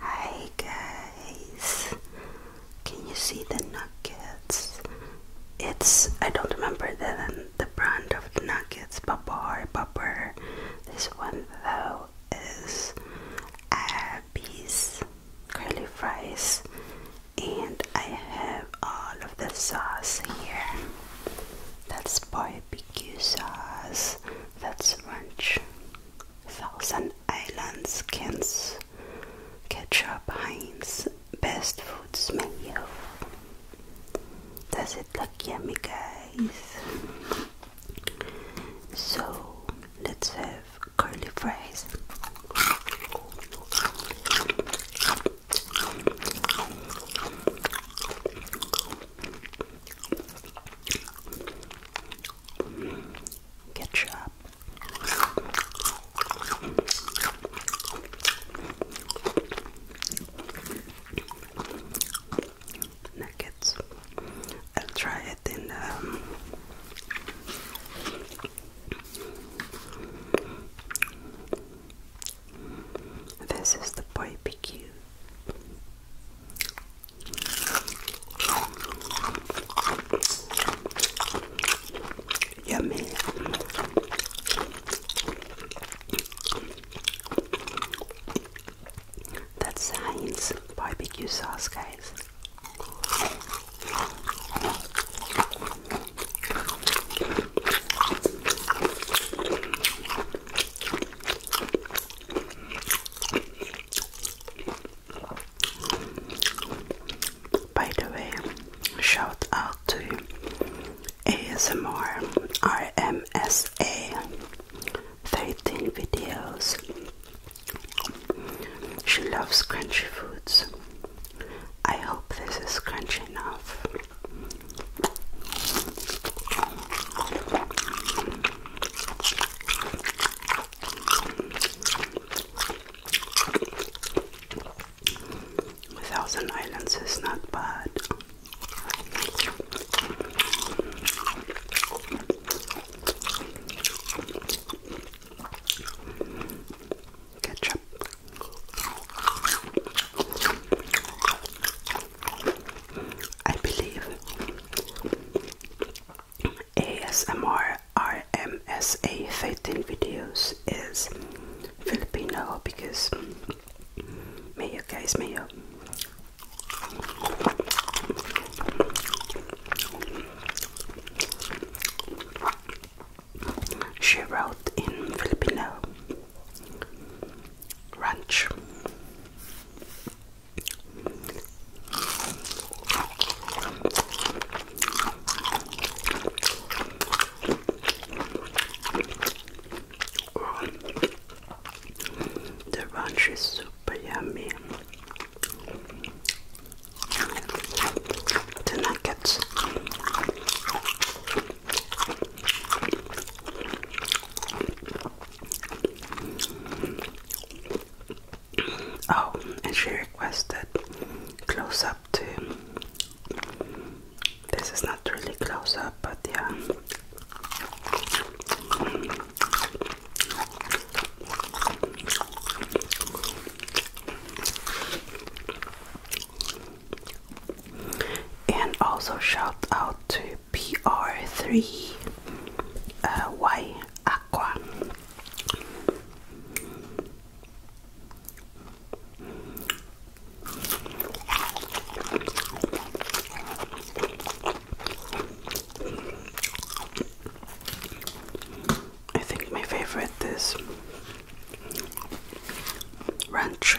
Hi guys, can you see the nuggets? It's I don't remember the the brand of the nuggets, Bubber, Bubber. This one though is Abby's curly fries, and I have all of the sauce here. That's barbecue sauce. That's ranch. Thousand Islands Kings Ketchup Heinz Best Foods Mayo Does it look yummy guys? So let's have curly fries Ketchup. Nuggets. I'll try it in um, this is the barbecue. Yummy. That's Heinz barbecue sauce, guys. By the way, shout out to ASMR RMSA 13 videos. She loves crunchy foods. I hope this is crunchy enough. Thousand Islands is not bad. Ketchup. I believe ASMR RMSA 13 videos is Filipino because mayo guys mayo she wrote in Filipino ranch. The ranch is super yummy. The nuggets. Oh, and she requested close up too. This is not really close up, but yeah. And also shout out to PR3 uh, Y Aqua. I think my favorite is ranch.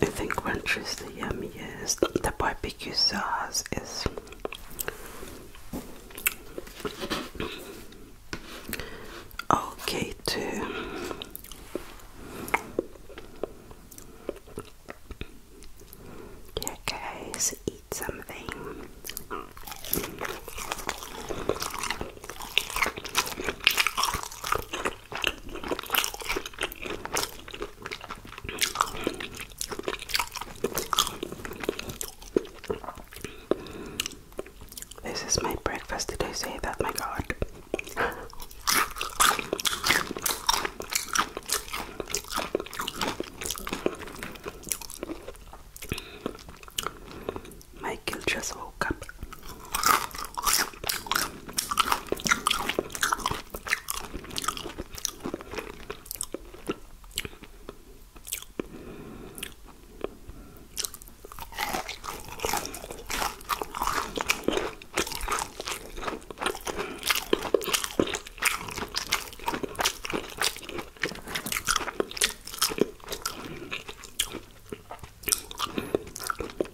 I think ranch is the yummiest. The barbecue sauce is okay too. Okay, so eat something. This is my breakfast. Did I say that? My God. Michael just woke up.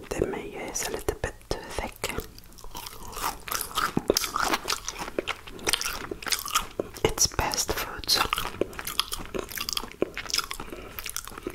Det möjer sig lite bättre väck. It's best food.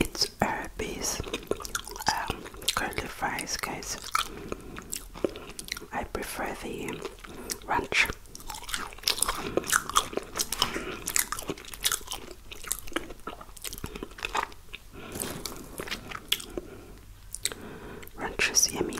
It's herpes, um, curly fries, guys. I prefer the ranch. Ranch is yummy.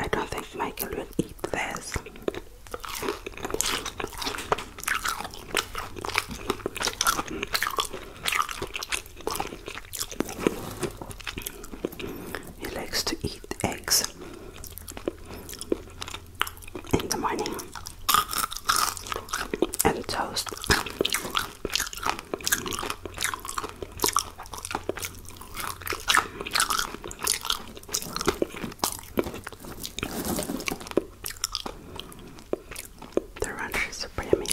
I don't think Michael will eat this. He likes to eat eggs in the morning and toast. The ranch is super yummy.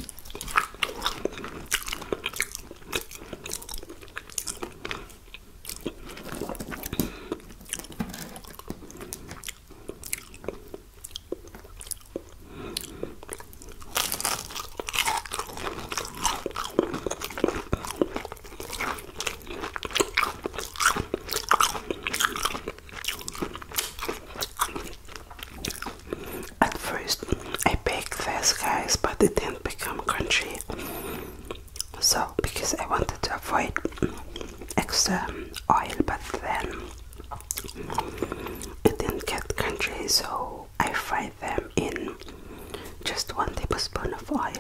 At first, I baked these guys, but they didn't become crunchy. So, because I wanted to avoid extra oil, but then it didn't get crunchy, so I fried them in just one tablespoon of oil.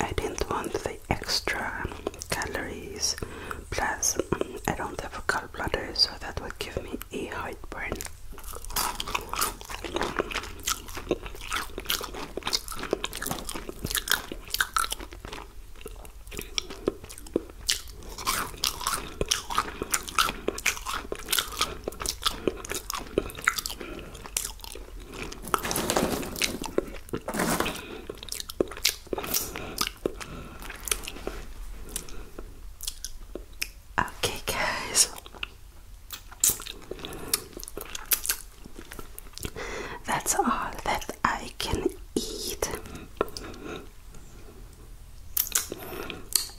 I didn't want the extra calories Plus, I don't have a gallbladder, so that would give me a heartburn. Okay, guys, that's all that I can eat.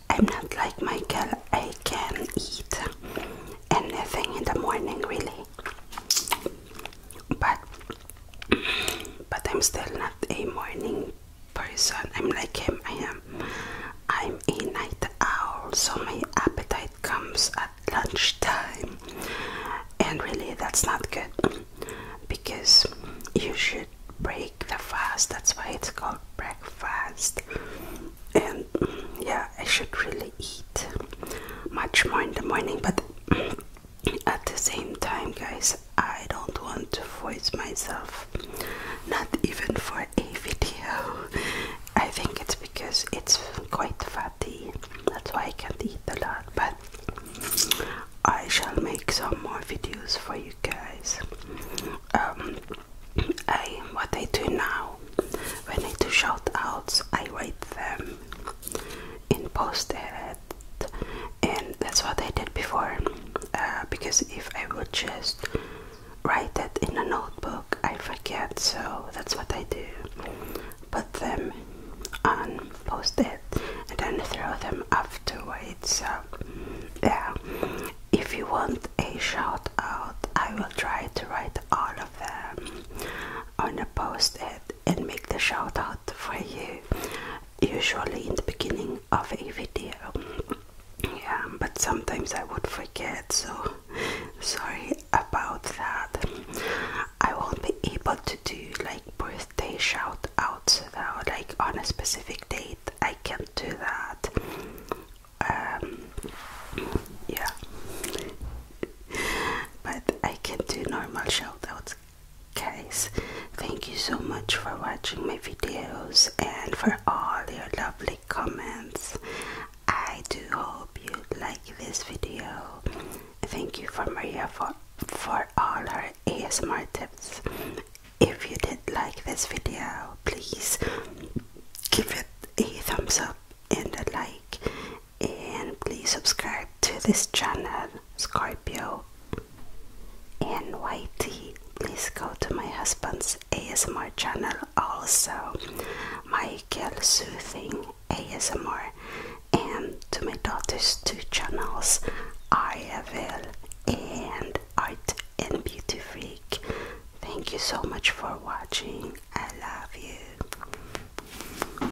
I'm not like Michael, I can eat anything in the morning, really. But but I'm still not a morning person. I'm like him. I am. I'm a night owl, so my appetite comes at lunchtime, and really that's not good because you should break the fast. That's why it's called breakfast. And yeah, I should really eat much more in the morning, but at the same time, guys, I don't want to voice myself, not even for a video. I think it's because it's quite fatty, that's why I can't eat a lot. But I shall make some more videos for you guys. Um, I what I do now when I do shout outs, I write them in post edit and that's what I did before uh, because if I would just write it in a notebook I forget so that's what I do put them on post it and then throw them afterwards so yeah if you want a shout out I will try to write all of them on a post it and make the shout out for you usually in the beginning of a video yeah but sometimes i would forget so sorry about that i won't be able to do like birthday shout outs though like on a specific date i can't do that um yeah but i can do normal shout outs guys thank you so much for watching my videos and for all your lovely comments i do hope you like this video thank you for maria for for all her asmr tips if you did like this video please give it a thumbs up and a like and please subscribe to this channel Scorpio NYT. Please go to my husband's ASMR channel also, Michael Soothing ASMR, and to my daughter's two channels, Ariaville and Art and Beauty Freak. Thank you so much for watching. I love you.